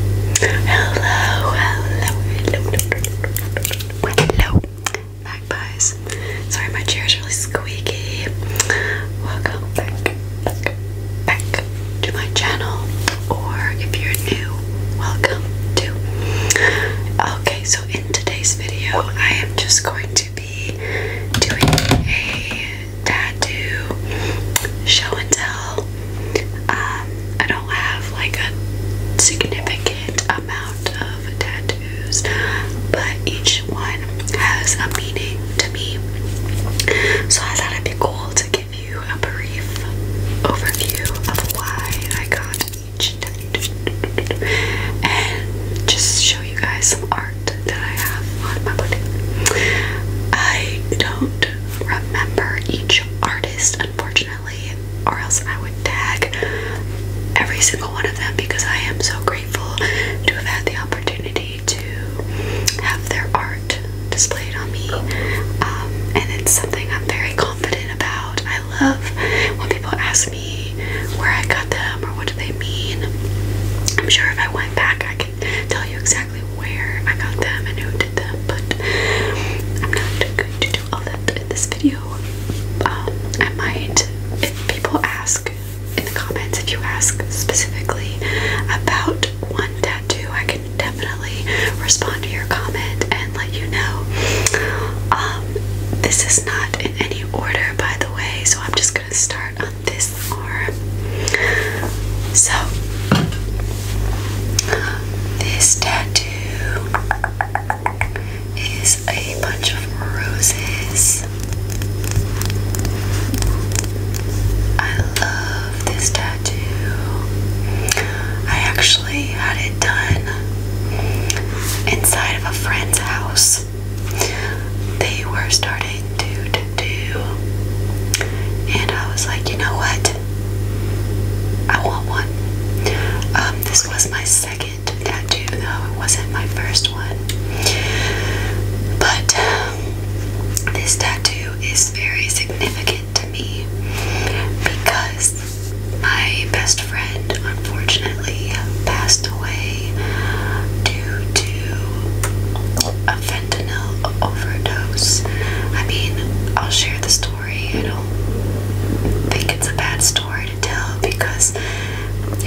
Hello, hello, hello, magpies. Sorry, my chair is really squeaky. Welcome back, back, back to my channel, or if you're new, welcome to. Okay, so in today's video, I am just going to be doing a tattoo show and tell um, I don't have like a significant amount of tattoos, but each one has a meaning to me. So I thought it'd be cool to give you a brief overview of why I got each tattoo and just show you guys some art that I have on my body. I don't remember each artist, unfortunately, or else I would tag every single one of them because I am so grateful to have had the opportunity to have their art displayed on me. Um, and it's something I'm very confident about. I love when people ask me where I got them or what do they mean. I'm sure if I went back, I could. tell you exactly where I got them and who did them, but I'm not going to do all that in this video. Um, I might, if people ask in the comments, if you ask specifically about one tattoo, I can definitely respond to your comment and let you know. Um, this is not in any order, by the way, so I'm just gonna start on this arm. So, this tattoo is a bunch of roses. I love this tattoo. I actually had it done inside of a friend's house. They were starting to to And I was like, you know what? I want one. Um, this was my second tattoo, though. It wasn't my first one. But um, this tattoo is very significant to me because my best friend, unfortunately, passed away due to a fentanyl overdose. I mean, I'll share the story. I don't think it's a bad story to tell because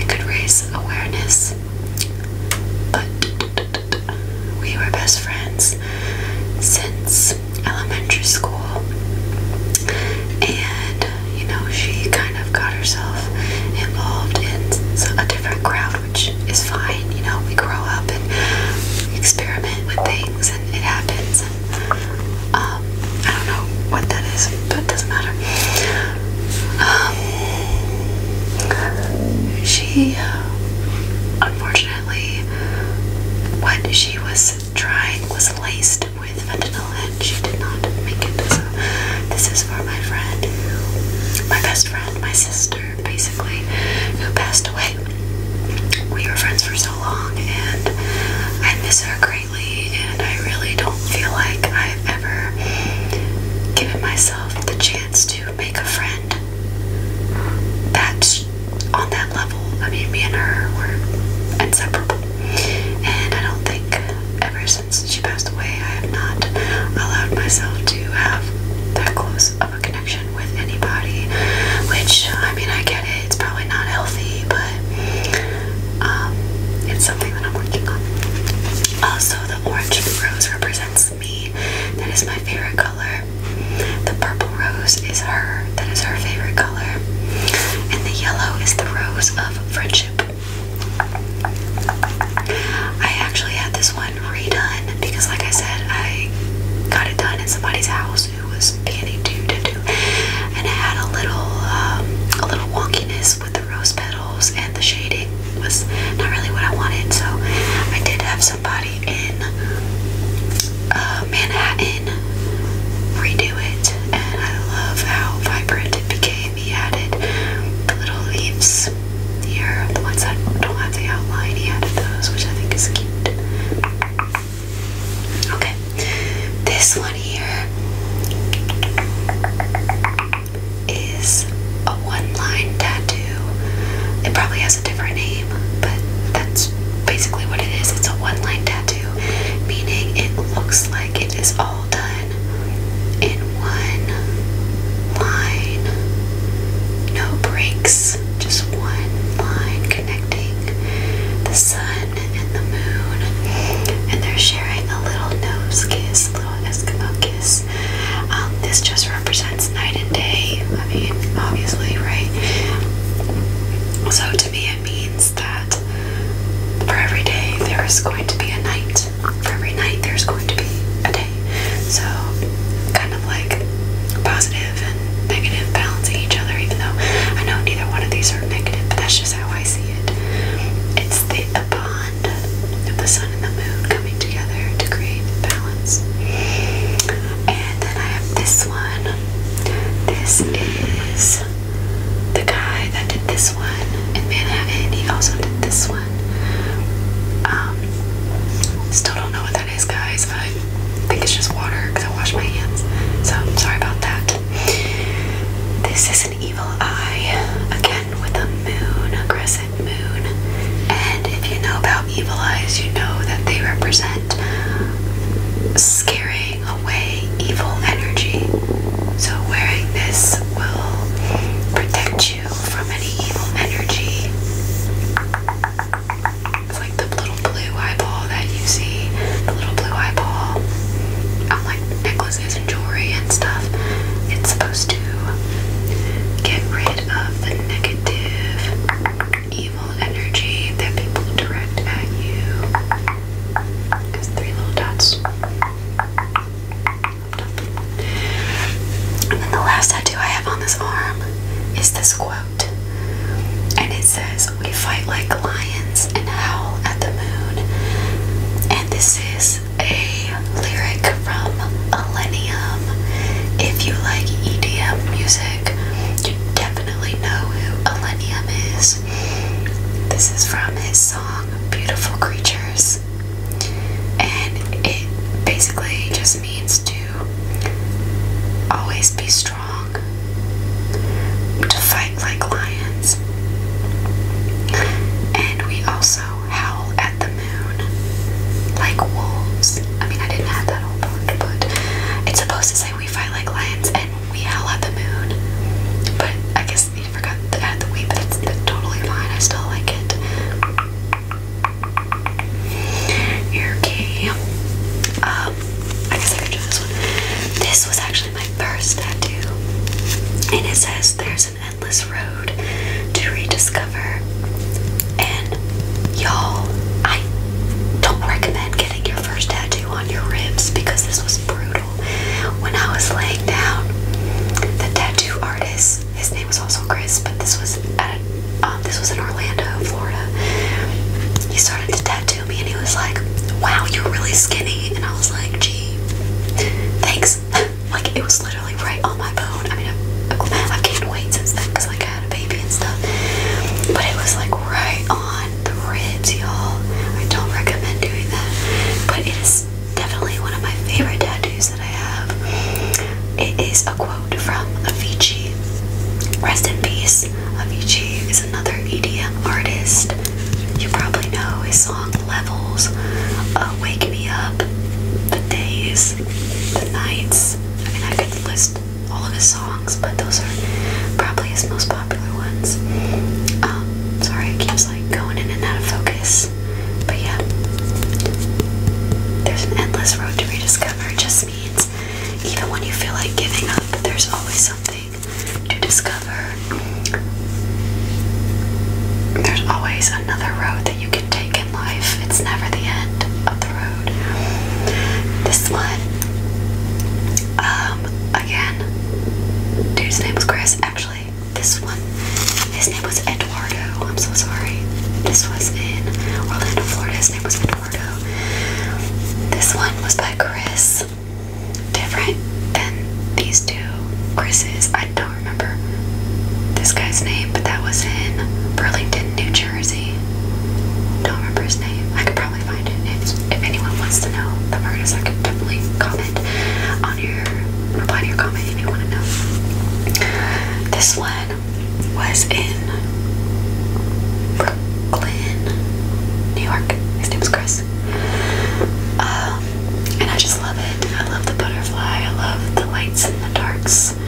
it could raise awareness. But we were best friends since elementary school. And, you know, she kind of got herself involved in a different crowd which is fine. You know, we grow up and experiment with things, and it happens. Um, I don't know what that is, but it doesn't matter. Um, she, uh, unfortunately, what she was trying was laced with fentanyl, and she did not make it. So, this is for my friend, my best friend, my sister basically, who passed away. We were friends for so long, and I miss her greatly, and I really don't feel like I've ever given myself the chance to make a friend that's on that level. I mean, me and her were inseparable, and I don't think ever since she passed away, I have not allowed myself to have that close a connection with anybody, which I mean, I get it, it's probably not healthy, but um, it's something that I'm working on. Also, the orange rose represents me, that is my favorite color. The purple rose is her, that is her favorite color, and the yellow is the rose of friendship. I actually had this one redone because, like I said, I got it done in somebody's house who was beginning to do, and it had a little, um, a little wonkiness with the rose petals and the shading was not really what I wanted. So I did have somebody in uh, Manhattan redo it, and I love how vibrant it became. He added little leaves here. The ones that don't have the outline, he added those, which I think is cute. Okay, this one here is a one-line tattoo. It probably has a different name, but that's basically what it is. It's a one-line tattoo, meaning it looks like it is all done in one line. No breaks, just one line connecting the sun and the moon. And they're sharing a little nose kiss, a little Eskimo kiss. Um, this just represents night and day. I mean, obviously, right? So to me, it means that for every day there is going to be a night. For every night, there's going to be a day. So, kind of like positive and negative balancing each other, even though I know neither one of these are negative, but that's just how I see it. It's the, the bond of the sun and the moon coming together to create balance. And then I have this one. This is the guy that did this one in Manhattan. He also did this one. Um, still don't know what that is, guys. I think it's just water because I washed my hands. So I'm sorry about that. This is an evil eye again with a moon, a crescent moon. And if you know about evil eyes, you know that they represent scaring away evil energy. So wearing this will protect from any evil energy. It's like the little blue eyeball that you see, the little blue eyeball on like necklaces and jewelry and stuff. It's supposed to get rid of the negative, evil energy that people direct at you. Because three little dots. And then the last tattoo I have on this arm is this quote. And it says, We fight like lions and howl at the moon. And this is a lyric from Millennium. If you like EDM music, you definitely know who Millennium is. This is from his song Beautiful Creatures. And it basically just means to always be strong, to fight like lions. And we also howl at the moon like wolves. I mean, I didn't have that whole part, but it's supposed to say we fight like lions and we howl at the moon. But I guess you forgot to add the we, but it's totally fine. I still like it. Ear key. Um, I guess I could this one. This was actually my first tattoo, and it says there's an endless road to rediscover. And y'all, I don't recommend getting your first tattoo on your ribs because this was brutal. When I was laying down, the tattoo artist his name was also Chris, but this was at um, this was in Orlando, Florida. He started to tattoo me, and he was like, "Wow, you're really skinny," and I was like, "Gee, thanks." like it was literally right on my bone. I mean, I've, I've gained weight since then because I had a baby and stuff, but it was like right on the ribs, y'all. I don't recommend doing that, but it is definitely one of my favorite tattoos that I have. It is a quote from Avicii. Rest in peace. Avicii is another EDM artist. You probably know his song Levels, uh, Wake Me Up, The Days, The Nights. I mean, I could list all of his songs, but those are probably his most popular ones. Um, sorry, it keeps like going in and out of focus. But yeah, there's an endless road to rediscover. It just means even when you feel like giving up, there's always something to discover. There's always another road that you can take in life. It's never the end of the road. This one, um, again, dude's name was Chris. Actually, this one, his name was Eduardo. I'm so sorry. This was in Orlando, Florida. His name was Eduardo. This one was by Chris. Different than these two Chris's. I don't remember this guy's name, but that was in Burlington, New Jersey. Don't remember his name. I could probably find it. If, if anyone wants to know the artist, I could definitely comment on your reply to your comment if you want to know. This one was in Brooklyn, New York. His name is Chris. Um, and I just love it. I love the butterfly. I love the lights and the darks.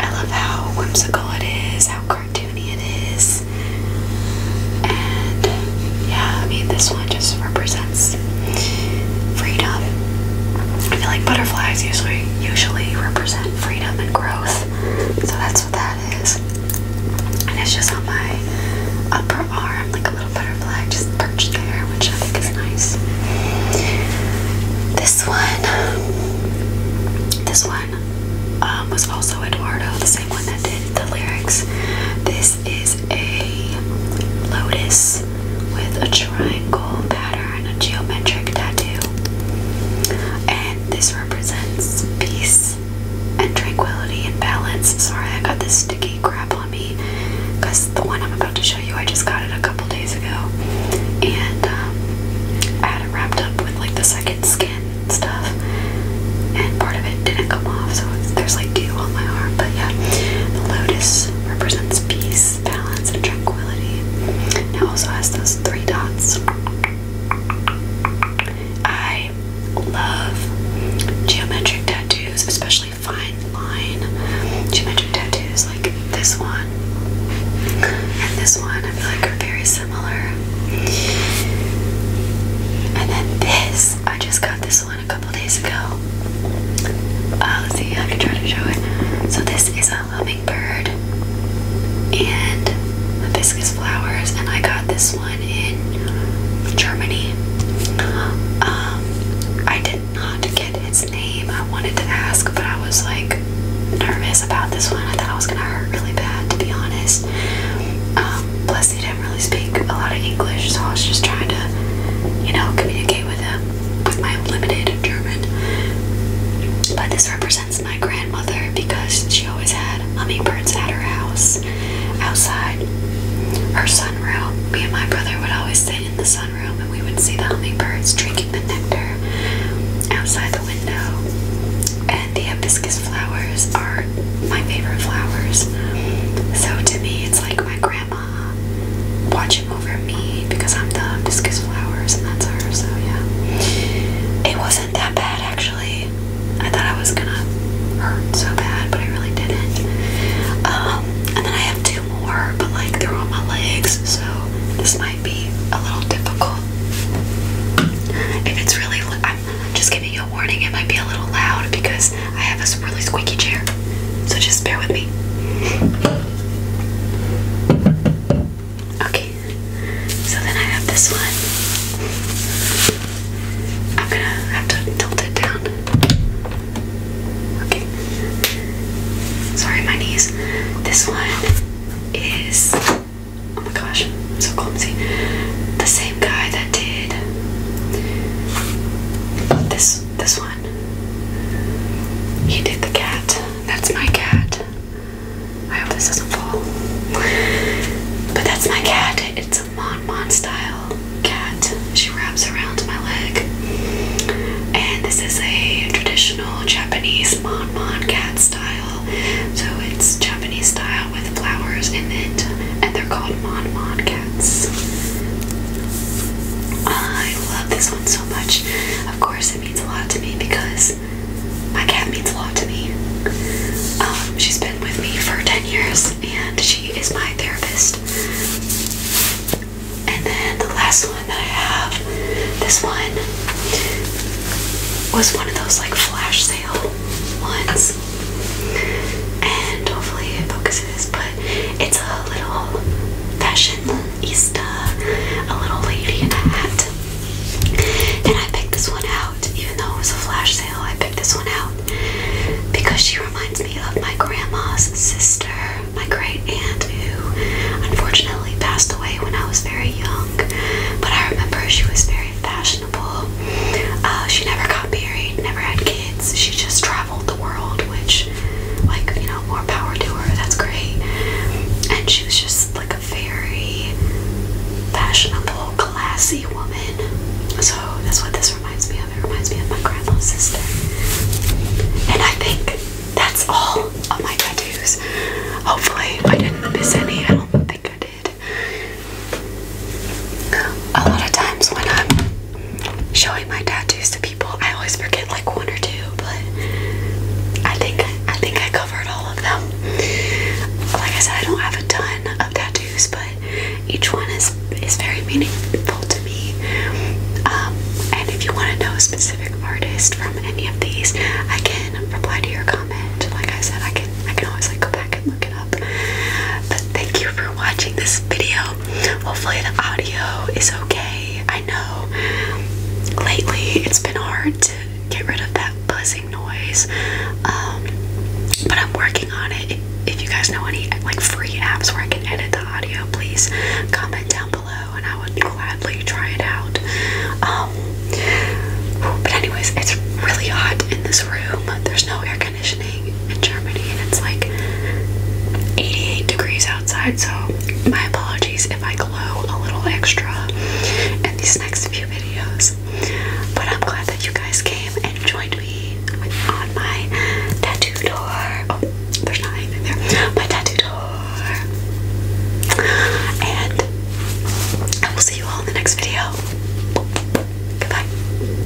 I love how whimsical it is, how cartoony it is. And yeah, I mean, this one it just represents freedom. I feel like butterflies usually usually represent freedom and growth. So that's what that is. And it's just on my upper arm, like a little butterfly just perched there, which I think is nice. This one, this one um, was also Eduardo, the same one that did the lyrics. This is a lotus with a triangle pattern, a geometric tattoo. And this represents peace and tranquility and balance. Sorry, I got this sticky crap on me because the one I'm about to show you, I just got it a couple days ago. And um, I had it wrapped up with like the second skin stuff, and part of it didn't come off, so there's like dew on my arm. But yeah, the lotus represents peace, balance, and tranquility. it also has those three dots. I love geometric tattoos, especially fine line geometric tattoos like this one and this one. I feel like are very similar. And then this, I just got this one a couple days ago. Uh, let's see, I can try to show it. So this is a hummingbird and hibiscus flowers, and I got this one in Germany. Um, I did not get its name. I wanted to ask, but I was like nervous about this one. I thought I was gonna hurt really bad, to be honest. Um, they didn't really speak a lot of English, so I was just trying to, you know, communicate with him um, with my limited German. But this represents my grandmother because she always had hummingbirds at her house outside her sunroom. Me and my brother would always sit in the sunroom and we would see the hummingbirds drinking the nectar outside the window. And the hibiscus flowers are my favorite flowers. So to me, it's like my grandma. Uh, watching over me because I'm the hibiscus flowers and that's her, so yeah. It wasn't that bad actually. I thought I was gonna hurt so bad, but I really didn't. Um, and then I have two more, but like they're on my legs, so this might be a little difficult. If it's really, I'm just giving you a warning, it might be a little loud because I have this really squeaky chair, so just bear with me. Okay, so then I have this one. I'm gonna have to tilt it down. Okay. Sorry, my knees. This one is. Oh my gosh, I'm so clumsy. The same guy that did this this one. He did the cat. That's my cat. I hope this doesn't fall. But that's my cat. It's a Mon Mon style cat. She wraps around my leg. And this is a traditional Japanese Mon Mon cat style. So it's Japanese style with flowers in it. And they're called Mod Mod Cats. I love this one so much. Of course, it means a lot to me because my cat means a lot to me. Um, she's been with me for 10 years and she is my therapist. And then the last one I have, this one was one of those like flash sale ones. And hopefully it focuses but it's a little fashionista, a little lady in a hat. And I picked this one out, even though it was a flash sale, I picked this one out because she reminds me of my grandma's sister, my great aunt, who unfortunately passed away when I was very young. But I remember she was very fashionable. Uh, she never got married, never had kids. She just tried traveled the world, which, like, you know, more power to her, that's great. And she was just like a very fashionable, classy woman. So that's what this reminds me of. It reminds me of my grandma's sister. And I think that's all of my tattoos. Hopefully, I didn't miss any. I don't think I did. A lot of times when I'm showing my tattoos to people. I always forget like one or two, but I think I think I covered all of them. Like I said, I don't have a ton of tattoos, but each one is is very meaningful to me. Um, and if you want to know a specific artist from any of these, I can reply to your comment. Like I said, I can I can always like go back and look it up. But thank you for watching this video. Hopefully, the audio is okay. I know lately it's been hard to get rid of that buzzing noise, um, but I'm working on it. If you guys know any like free apps where I can edit the audio, please comment down below and I would gladly try it out. Um, but anyways, it's really hot in this room. There's no air in Germany and it's like 88 degrees outside, so my apologies if I glow a little extra in these next few videos. But I'm glad that you guys came and joined me with, on my tattoo tour. Oh, there's not anything there. My tattoo tour. And I will see you all in the next video. Goodbye.